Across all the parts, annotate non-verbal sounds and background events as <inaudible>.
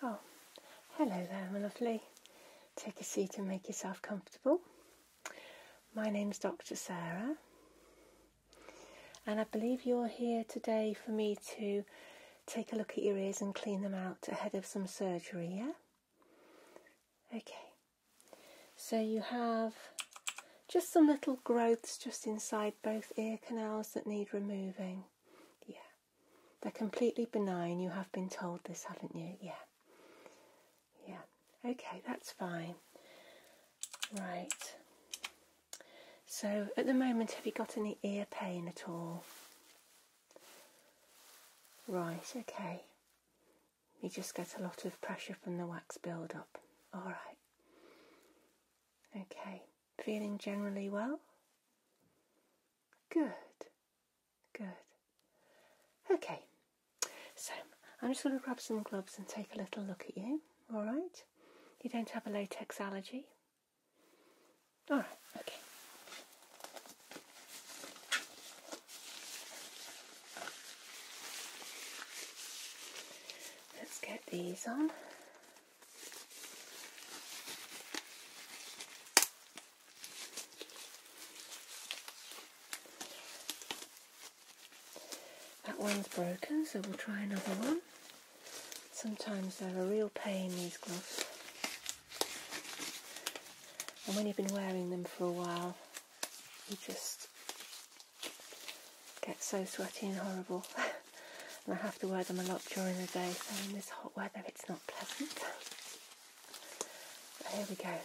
Oh, hello there, my lovely. Take a seat and make yourself comfortable. My name's Dr. Sarah. And I believe you're here today for me to take a look at your ears and clean them out ahead of some surgery, yeah? Okay. So you have just some little growths just inside both ear canals that need removing. Yeah. They're completely benign. You have been told this, haven't you? Yeah. Yeah, okay, that's fine. Right. So at the moment, have you got any ear pain at all? Right, okay. You just get a lot of pressure from the wax build up. Alright. Okay. Feeling generally well? Good. Good. Okay. So I'm just going to grab some gloves and take a little look at you. All right? You don't have a latex allergy. All right. Okay. Let's get these on. That one's broken, so we'll try another one. Sometimes they're a real pain, these gloves. And when you've been wearing them for a while, you just get so sweaty and horrible. <laughs> and I have to wear them a lot during the day, so in this hot weather it's not pleasant. But here we go,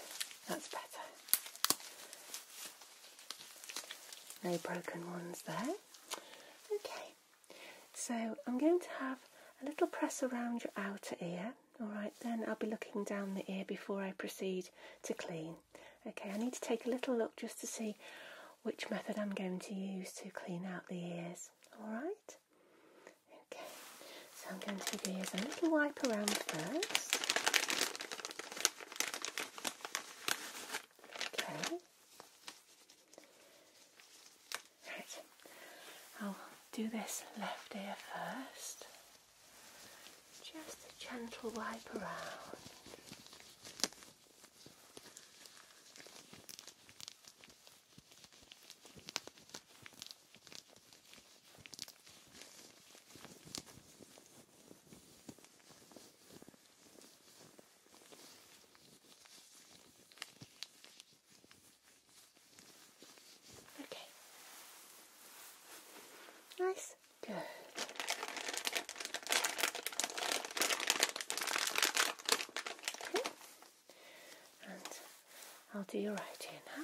that's better. No broken ones there. Okay, so I'm going to have a little press around your outer ear. Alright, then I'll be looking down the ear before I proceed to clean. Okay, I need to take a little look just to see which method I'm going to use to clean out the ears. Alright? Okay, so I'm going to give the a little wipe around first. Right. I'll do this left ear first. Just a gentle wipe around. Okay. Nice. Good. Okay. And I'll do your right ear now.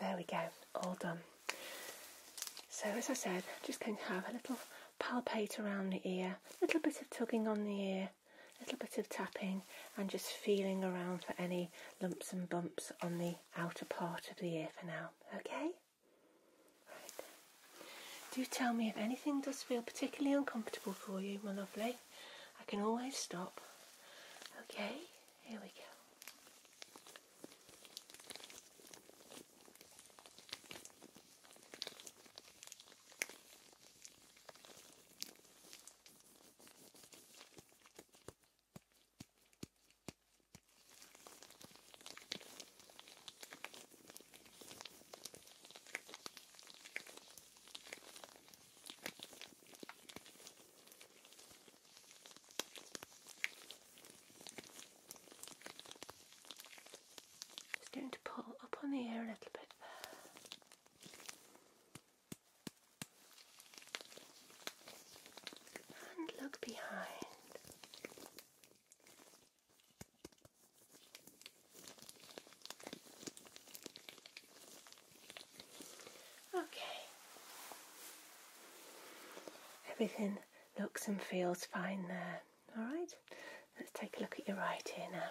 There we go, all done. So as I said, just going to have a little palpate around the ear, a little bit of tugging on the ear, a little bit of tapping and just feeling around for any lumps and bumps on the outer part of the ear for now, okay? Do tell me if anything does feel particularly uncomfortable for you, my lovely. I can always stop. Okay, here we go. Just going to pull up on the air a little bit And look behind. Okay. Everything looks and feels fine there. Alright, let's take a look at your right ear now.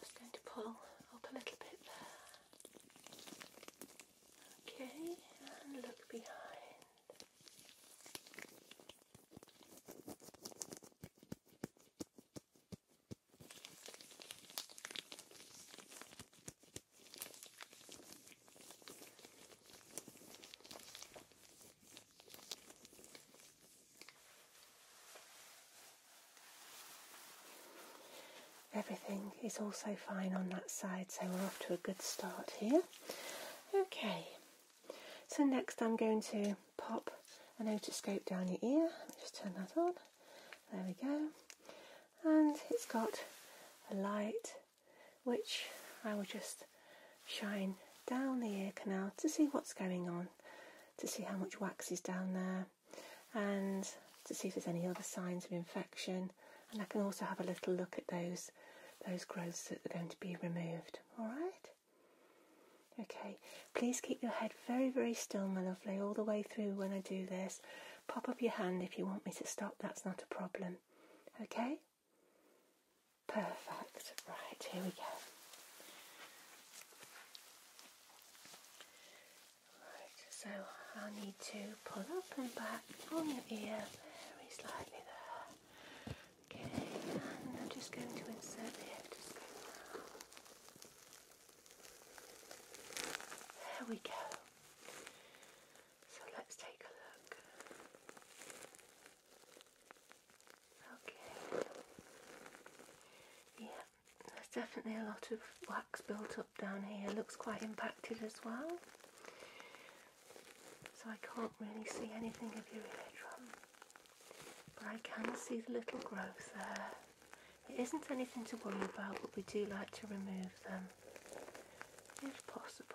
Just going to pull up a little bit there. Okay, and look behind. Everything is also fine on that side, so we're off to a good start here. Okay, so next I'm going to pop an otoscope down your ear. Just turn that on. There we go. And it's got a light which I will just shine down the ear canal to see what's going on, to see how much wax is down there, and to see if there's any other signs of infection. And I can also have a little look at those those growths that are going to be removed. All right. Okay, please keep your head very, very still, my lovely, all the way through when I do this. Pop up your hand if you want me to stop, that's not a problem. Okay? Perfect. Right, here we go. Right, so i need to pull up and back on your ear very slightly there. Okay, and I'm just going to insert the hip just go now. There we go. So let's take a look. Okay. Yeah, there's definitely a lot of wax built up down here. Looks quite impacted as well. So I can't really see anything of your eardrum. But I can see the little growth there. It isn't anything to worry about, but we do like to remove them if possible.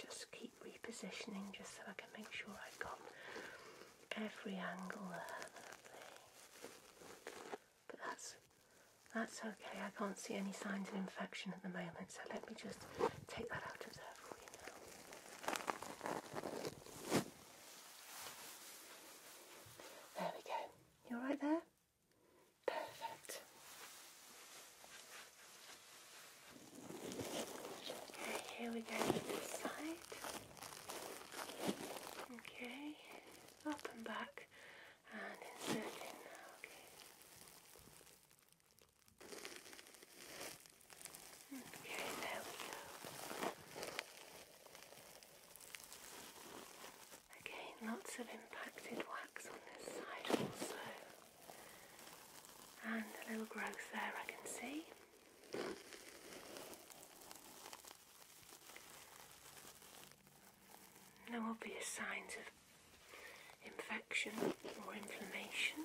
just keep repositioning just so I can make sure I've got every angle there. But that's that's okay. I can't see any signs of infection at the moment, so let me just take that out of there for you now. There we go. You are right there? Perfect. Okay, here we go this side. Okay, up and back and insert okay. there we go. Again, lots of impacted wax on this side also and a little growth there I can see. No obvious signs of infection or inflammation.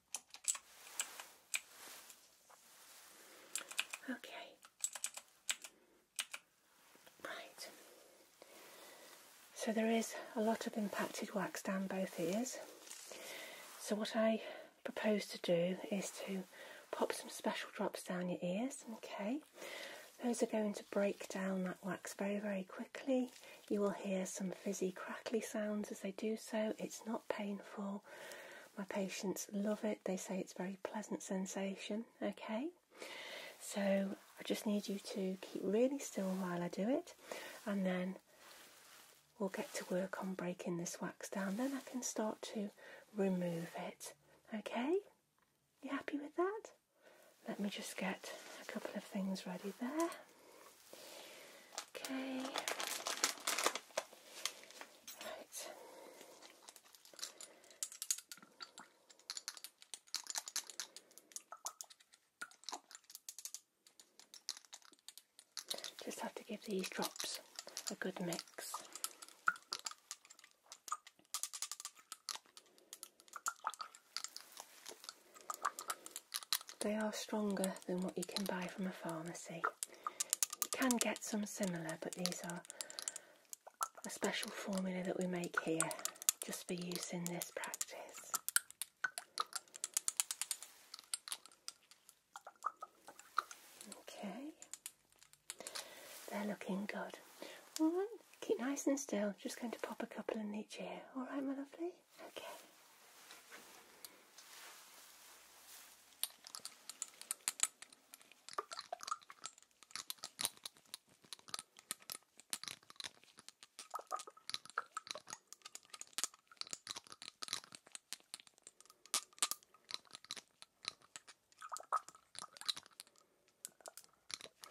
Okay. Right. So there is a lot of impacted wax down both ears. So what I propose to do is to pop some special drops down your ears, okay? Those are going to break down that wax very, very quickly. You will hear some fizzy, crackly sounds as they do so. It's not painful. My patients love it. They say it's a very pleasant sensation. Okay, so I just need you to keep really still while I do it, and then we'll get to work on breaking this wax down. Then I can start to remove it. Okay, you happy with that? Let me just get a couple of things ready there. Okay. Just have to give these drops a good mix. They are stronger than what you can buy from a pharmacy. You can get some similar, but these are a special formula that we make here just for use in this practice. Okay, they're looking good. All right, keep nice and still. Just going to pop a couple in each ear. All right, my lovely. Okay.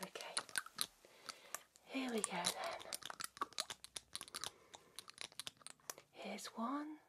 Okay, here we go then. Here's one,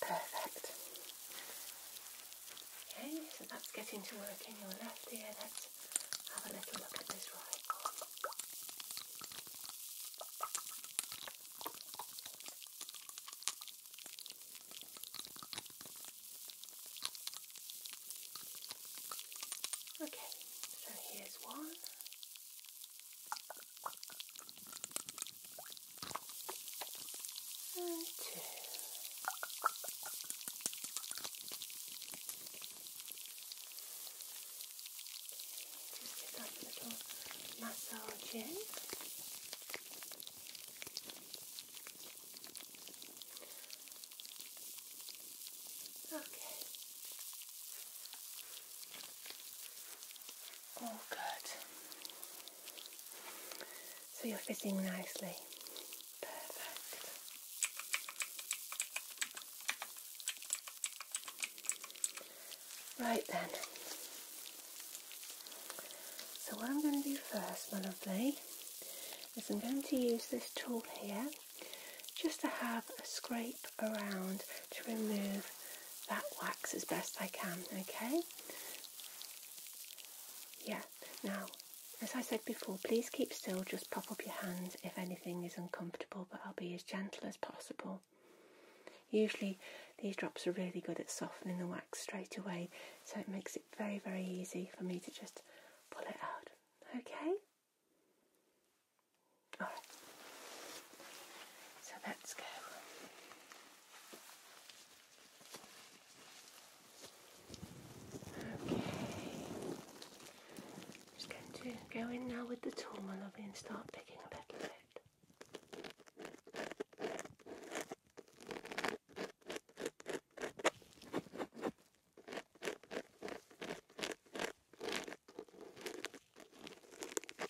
Perfect. Okay, so that's getting to work in your left ear. Let's have a little look at this right. Okay, so here's one and two. Just give that a little massage in. Okay. All good. So you're fitting nicely. Perfect. Right then. So what I'm going to do first, my lovely, is I'm going to use this tool here just to have a scrape around to remove that wax as best I can, okay? Yeah, now, as I said before, please keep still, just pop up your hands if anything is uncomfortable, but I'll be as gentle as possible. Usually, these drops are really good at softening the wax straight away, so it makes it very, very easy for me to just pull it out. Okay? Alright. So let's go. Okay. Just going to go in now with the tool, my lovely, and start picking a little bit.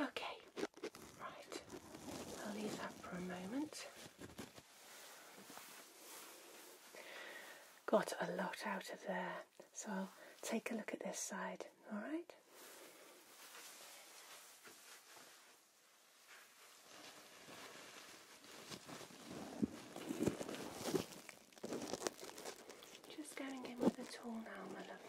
Okay, right, I'll leave that for a moment. Got a lot out of there. So take a look at this side, all right? Just going in with the tool now, my lovely.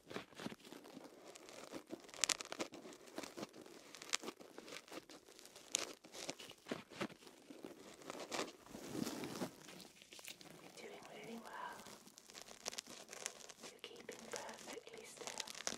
You're doing really well. You're keeping perfectly still.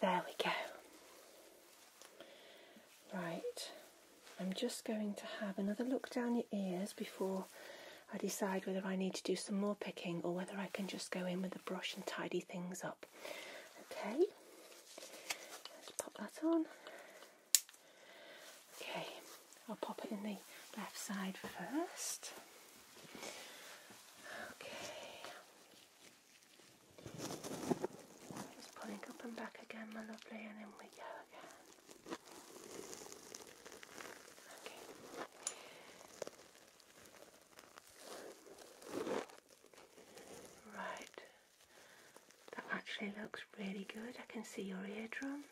There we go. Right, I'm just going to have another look down your ears before I decide whether I need to do some more picking or whether I can just go in with a brush and tidy things up. Okay, let's pop that on. Okay, I'll pop it in the left side first. Okay. Just pulling up and back again, my lovely, and in we go again. Okay. Right, that actually looks really good. I can see your eardrum.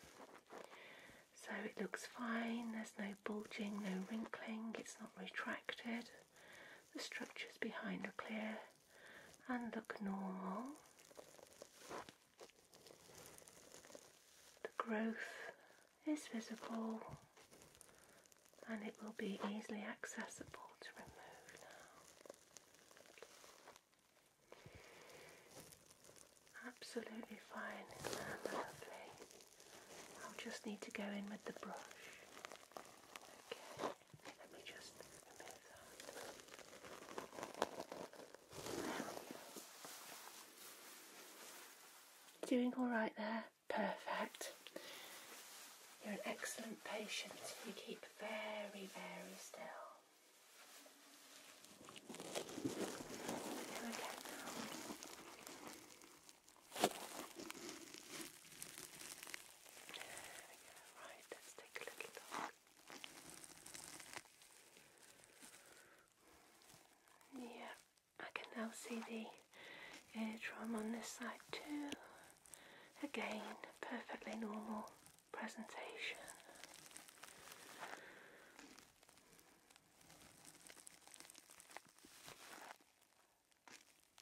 So it looks fine, there's no bulging, no wrinkling, it's not retracted. The structures behind are clear and look normal. The growth is visible and it will be easily accessible to remove now. Absolutely fine, lovely. I'll just need to go in with the brush. Okay, let me just remove Doing all right there? Perfect. You're an excellent patient. You keep very, very still. There we go. Right, let's take a little look. Yeah, I can now see the eardrum on this side too. Again, perfectly normal presentation.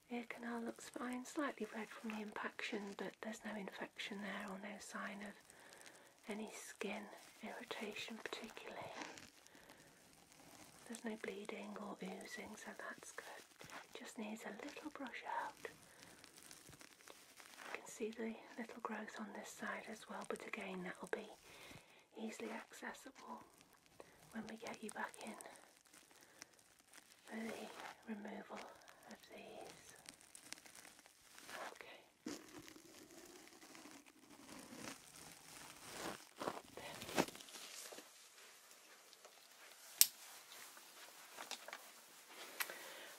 Ear canal looks fine, slightly red from the impaction, but there's no infection there or no sign of any skin irritation particularly. There's no bleeding or oozing, so that's good. Just needs a little brush out you can see the little growth on this side as well, but again that will be easily accessible when we get you back in for the removal of these. Okay.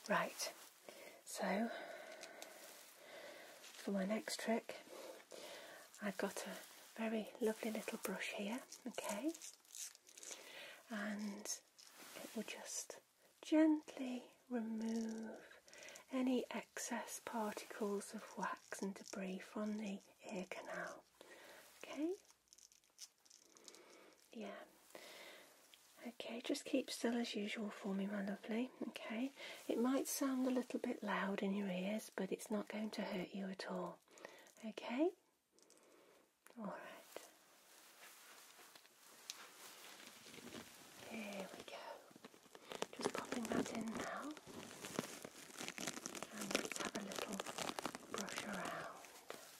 Right, so for my next trick, I've got a very lovely little brush here, okay, and it will just gently remove any excess particles of wax and debris from the ear canal, okay. Yeah. Okay, just keep still as usual for me, my lovely. Okay, it might sound a little bit loud in your ears, but it's not going to hurt you at all. Okay? Alright. There we go. Just popping that in now. And let have a little brush around.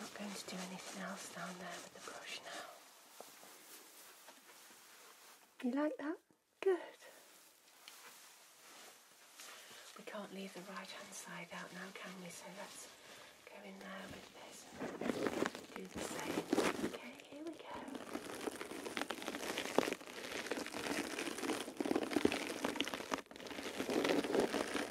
not going to do anything else down there with the brush now. You like that? Good. We can't leave the right hand side out now, can we? So let's go in there with this and do the same. Okay, here we go.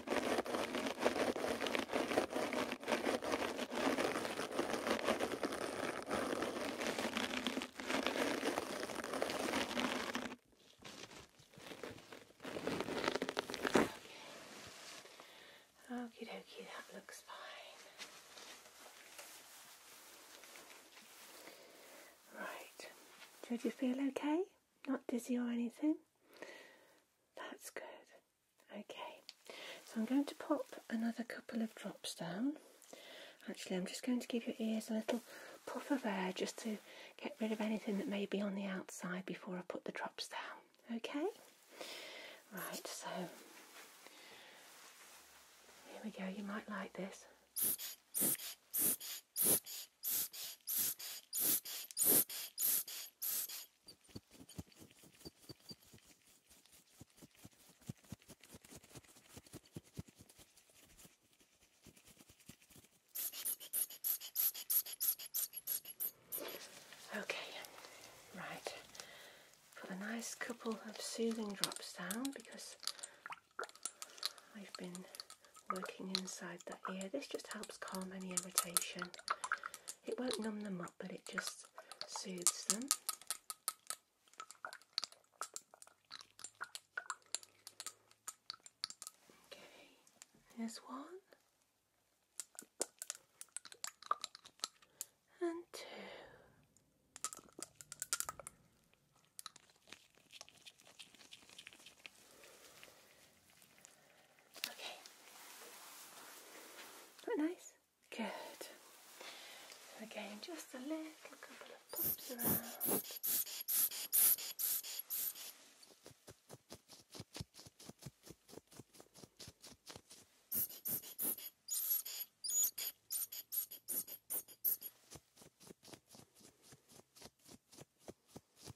Okie dokie, that looks fine. Right, so do you feel okay? Not dizzy or anything? That's good. Okay, so I'm going to pop another couple of drops down. Actually, I'm just going to give your ears a little puff of air just to get rid of anything that may be on the outside before I put the drops down. Okay? Right, so here we go. You might like this. Okay, right. Put a nice couple of soothing drops down because I've been working inside that ear. This just helps calm any irritation it won't numb them up, but it just soothes them. Okay, there's one and two. Okay. nice? Good. again, just a little couple of pops around.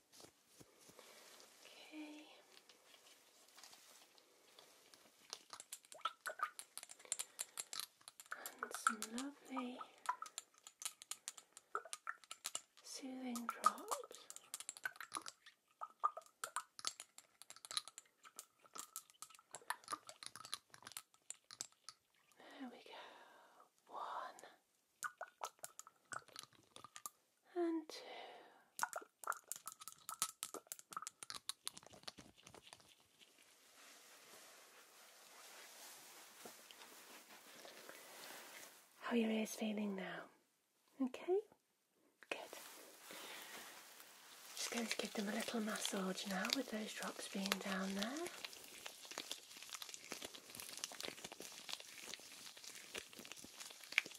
Okay. And some lovely soothing drops. There we go. One and two. How oh, are your ears feeling now? Okay? Good. Just going to give them a little massage now with those drops being down there.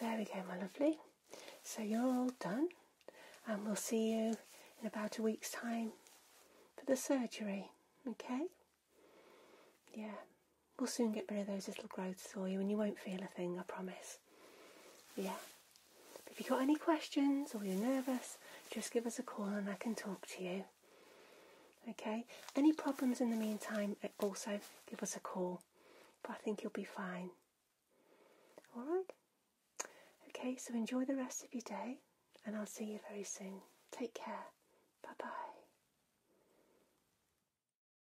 There we go, my lovely. So you're all done, and we'll see you in about a week's time for the surgery, okay? Yeah. We'll soon get rid of those little growths for you and you won't feel a thing, I promise. Yeah. if you've got any questions or you're nervous, just give us a call and I can talk to you. Okay? Any problems in the meantime, eh, also give us a call. But I think you'll be fine. Alright? Okay, so enjoy the rest of your day and I'll see you very soon. Take care. Bye bye.